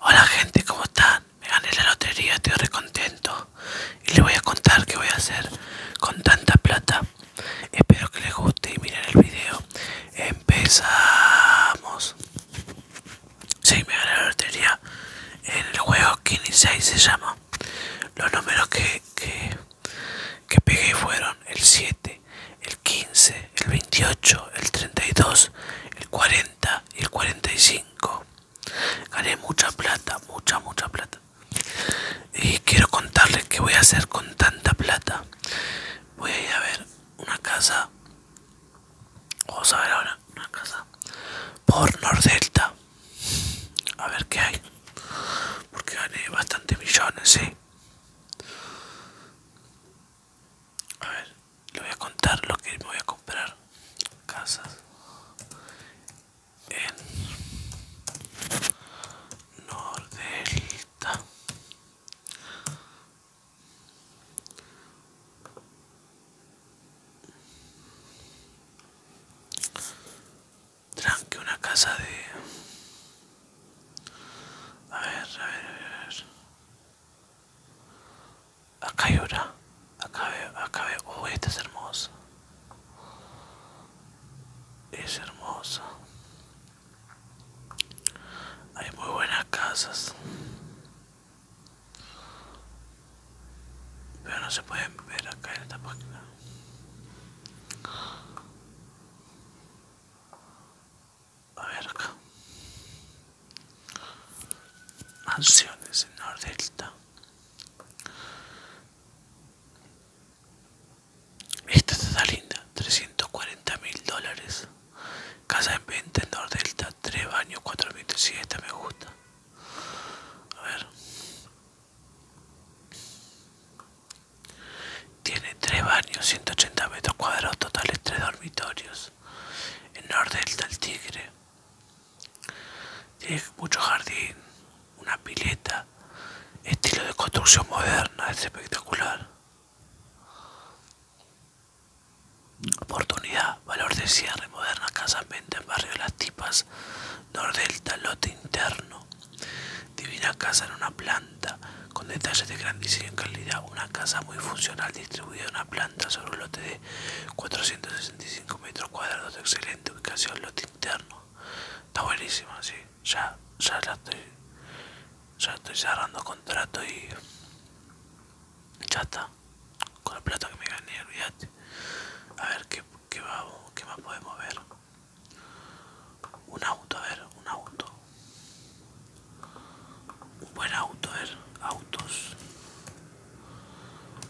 Hola gente, como están? Me gané la lotería, estoy contento y les voy a contar qué voy a hacer con tanta plata. Espero que les guste y miren el video. Empezamos. Sí, me gané la lotería en el juego y 6 se llama. Los números que, que pegué fueron el 7, el 15, el 28, el 32, el 40 y el 45. Gané mucha plata, mucha, mucha plata. Y quiero contarles qué voy a hacer con tanta plata. Voy a ir a ver una casa. Vamos a ver ahora una casa por Nordelta. A ver qué hay. Porque gané bastantes millones, a ver, le voy a contar lo que me voy a comprar. Casas. En Nordelta. Tranque una casa de... A a a ver, a ver. Acá hay una. Acá veo, acá veo. Uy, este es hermosa. Es hermosa. Hay muy buenas casas. Pero no se pueden ver acá en esta página. A ver acá. Mansiones en Nordelta. Esta está linda, 340 mil dólares. Casa en venta en Delta. 3 baños, 4 me gusta. A ver. Tiene tres baños, 180 metros cuadrados totales, tres dormitorios. En norte delta el tigre. Tiene mucho jardín, una pileta. Estilo de construcción moderna, es espectacular. Oportunidad, valor de cierre, moderna casa en venta en barrio las tipas, nordelta, lote interno, divina casa en una planta. Con detalles de grandísima calidad, una casa muy funcional distribuida en una planta sobre un lote de 465 metros cuadrados de excelente ubicación, lote interno. Está buenísimo. sí. Ya, ya estoy, ya estoy cerrando contrato y ya está. Con el plato que me gané, olvídate. A ver qué, qué, qué más podemos ver. Un auto, a ver, un auto. Un buen auto, ¿ver? Autos.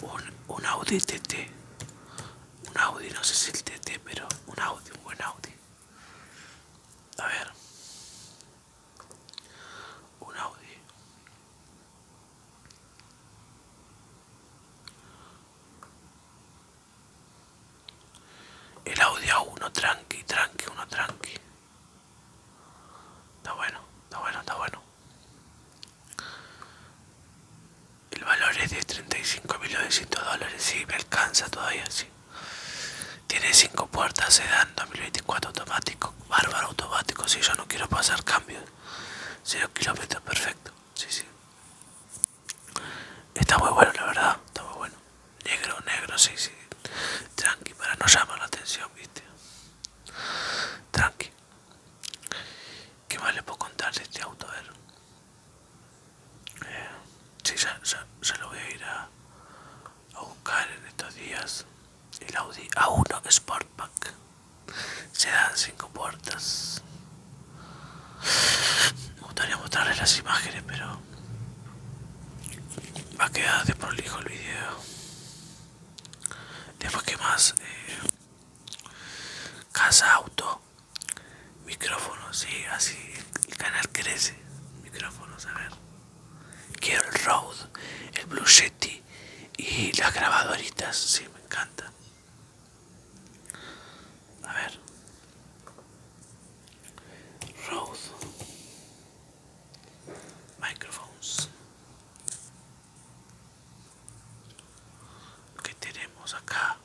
Un, un Audi TT. Un Audi, no sé si el TT, pero un Audi, un buen Audi. A ver. Un Audi. El audio uno tranqui, tranqui, uno tranqui. Está bueno, está bueno, está bueno. El valor es de 35.900 dólares, sí, me alcanza todavía, sí. Tiene 5 puertas, sedán 2024 automático, bárbaro automático, si sí, yo no quiero pasar cambios. 0 kilómetros, perfecto, sí, sí. Está muy bueno, la verdad. Está muy bueno. Negro, negro, sí, sí. Tranqui, para no llamar la atención, viste. Tranqui. ¿Qué más le puedo contar de este auto? A ver. Eh, sí, ya, lo voy a ir a, buscar en estos días. El Audi A1 Sportback. Se dan cinco puertas. Me gustaría mostrarles las imágenes, pero va a quedar prolijo el video. Después que más eh, casa auto micrófono sí así el canal crece micrófonos a ver quiero el road, el Blue Yeti y las grabadoritas si me encanta a ver Rode microphones que tenemos acá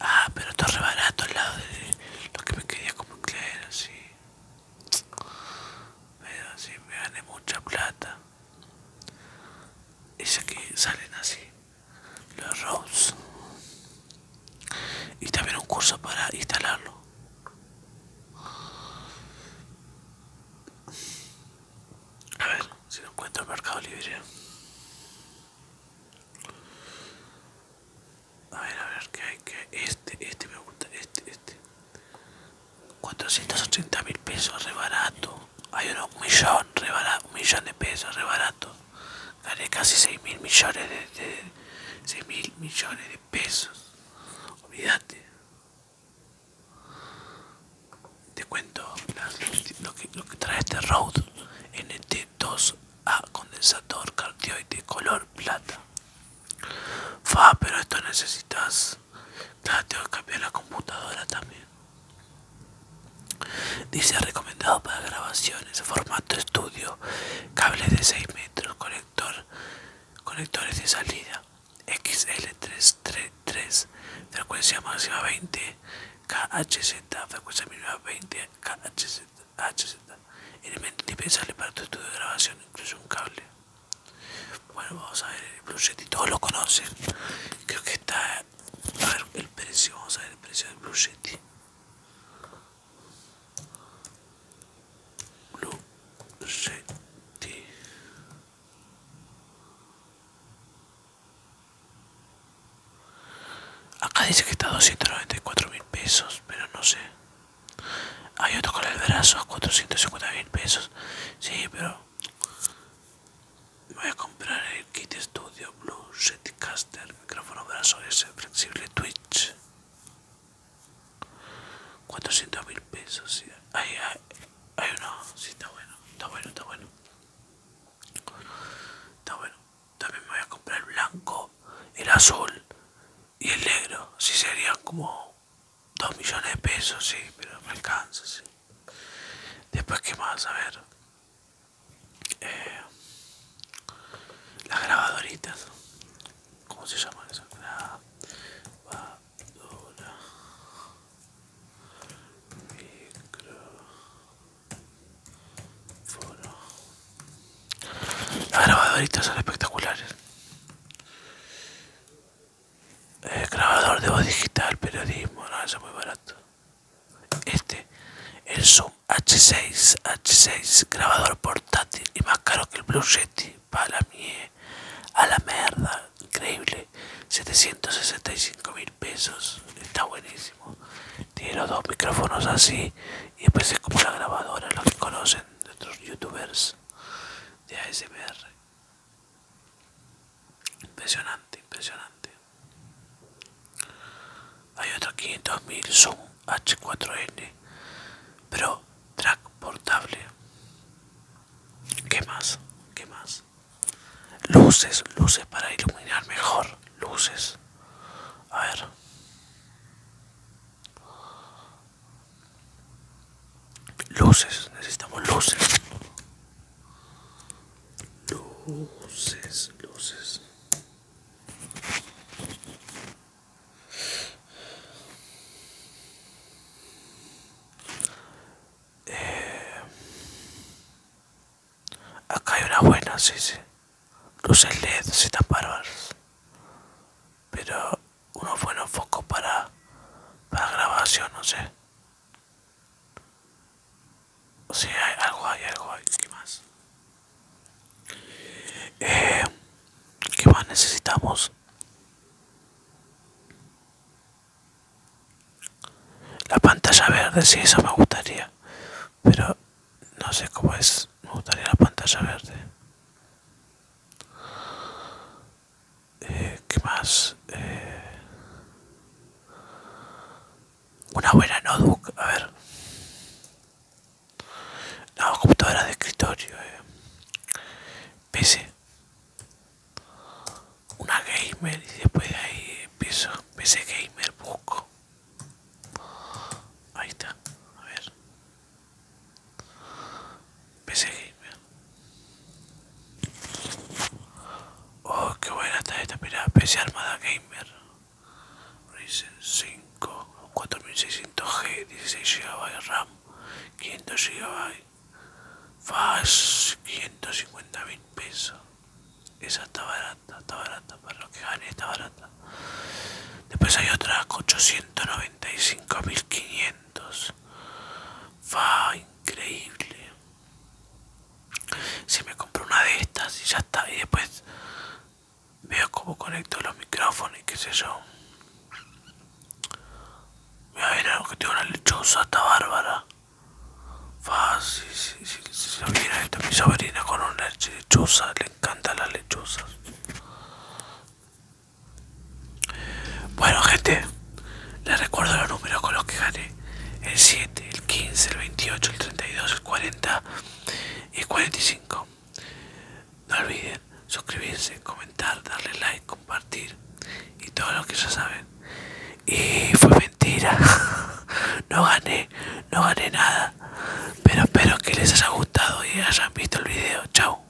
ah pero está re barato al lado de lo que me quería como claro sí pero si me gané mucha plata Y es que salen así los roads y también un curso para instalarlo a ver si lo encuentro en mercado libre a ver a ver que hay que este este me gusta este este 480 mil pesos re hay uno, un millón, un millón de pesos, rebarato, Gané casi 6 mil millones de, mil millones de pesos. Olvídate. Te cuento lo, que, trae este Rode NT2A condensador cardioide color plata. Fa, pero esto necesitas. Claro, tengo que cambiar la computadora también. Dice recomendado para grabaciones, formato estudio, cables de 6 metros, conector, conectores de salida, XL333, frecuencia máxima 20 KHZ, frecuencia mínima 20 KHZ, elementos elemento para tu estudio de grabación, incluso un cable. Bueno, vamos a ver el proyecto, todos lo conocen. Creo que está el precio, vamos a ver el precio del Blue Yeti. Blue Acá dice que está a 294 mil pesos, pero no sé. Hay otro con el brazo a 450 mil pesos. Sí, pero voy a comprar el kit estudio, Blue Setcaster, micrófono brazo S, flexible Twitch. 400 mil pesos. Sí. Ahí hay, uno, sí, está bueno, está bueno, está bueno. Está bueno. También me voy a comprar el blanco, el azul y el negro. Si sí, serían como 2 millones de pesos, sí, pero me alcanza, sí. Después, que más? A ver. Eh, las grabadoritas. ¿Cómo se llama eso? Grabadora. Las grabadoritas son espectaculares. Eh, grabador de voz digital, periodismo, no, eso es muy barato. Este, el Zoom H6, H6, grabador portátil y más caro que el Blue Yeti, para mí a la mierda increíble, 765 mil pesos, está buenísimo. Tiene los dos micrófonos así y empecé es como la grabadora, los que conocen de otros youtubers de ASMR. Impresionante, impresionante. Hay otro 500.000 Zoom H4N pero Track portable. ¿Qué más? ¿Qué más? Luces, luces para iluminar mejor. Luces. A ver. Luces, necesitamos luces. Luces, luces. Eh, acá hay una buena, sí, sí. Luces LED, si tan bárbaras. Pero unos buenos focos para, para grabación, no sé si hay algo, hay algo, hay. ¿Qué más? Eh, ¿Qué más necesitamos? La pantalla verde, sí, eso me gustaría. Pero no sé cómo es. Me gustaría la pantalla verde. Eh, ¿Qué más? Eh, una buena notebook, a ver. La computadora de escritorio. Eh. PC. Una gamer y después de ahí empiezo. PC gamer, busco. Ahí está. A ver. PC Gamer. Oh, qué buena está esta, mirá, PC Armada Gamer. Ryzen 5, 4600G, 16 GB RAM, 500 GB. Faz 550.000 pesos. Esa está barata, está barata, para los que gane está barata. Después hay otra 895.500. 500 increíble. Si me compro una de estas y ya está, y después veo cómo conecto los micrófonos y qué sé yo. Voy a ver que tengo una lechuza está bárbara. Fácil, si, esta mi sobrina con una lechuza le encanta las lechuzas bueno gente, les recuerdo los números con los que gané. El 7, el 15, el 28, el 32, el 40 y el 45. No olviden suscribirse, comentar, darle like, compartir y todo lo que ya saben. Y fue mentira. No gané, no gané nada. Pero espero que les haya gustado y hayan visto el video. Chao.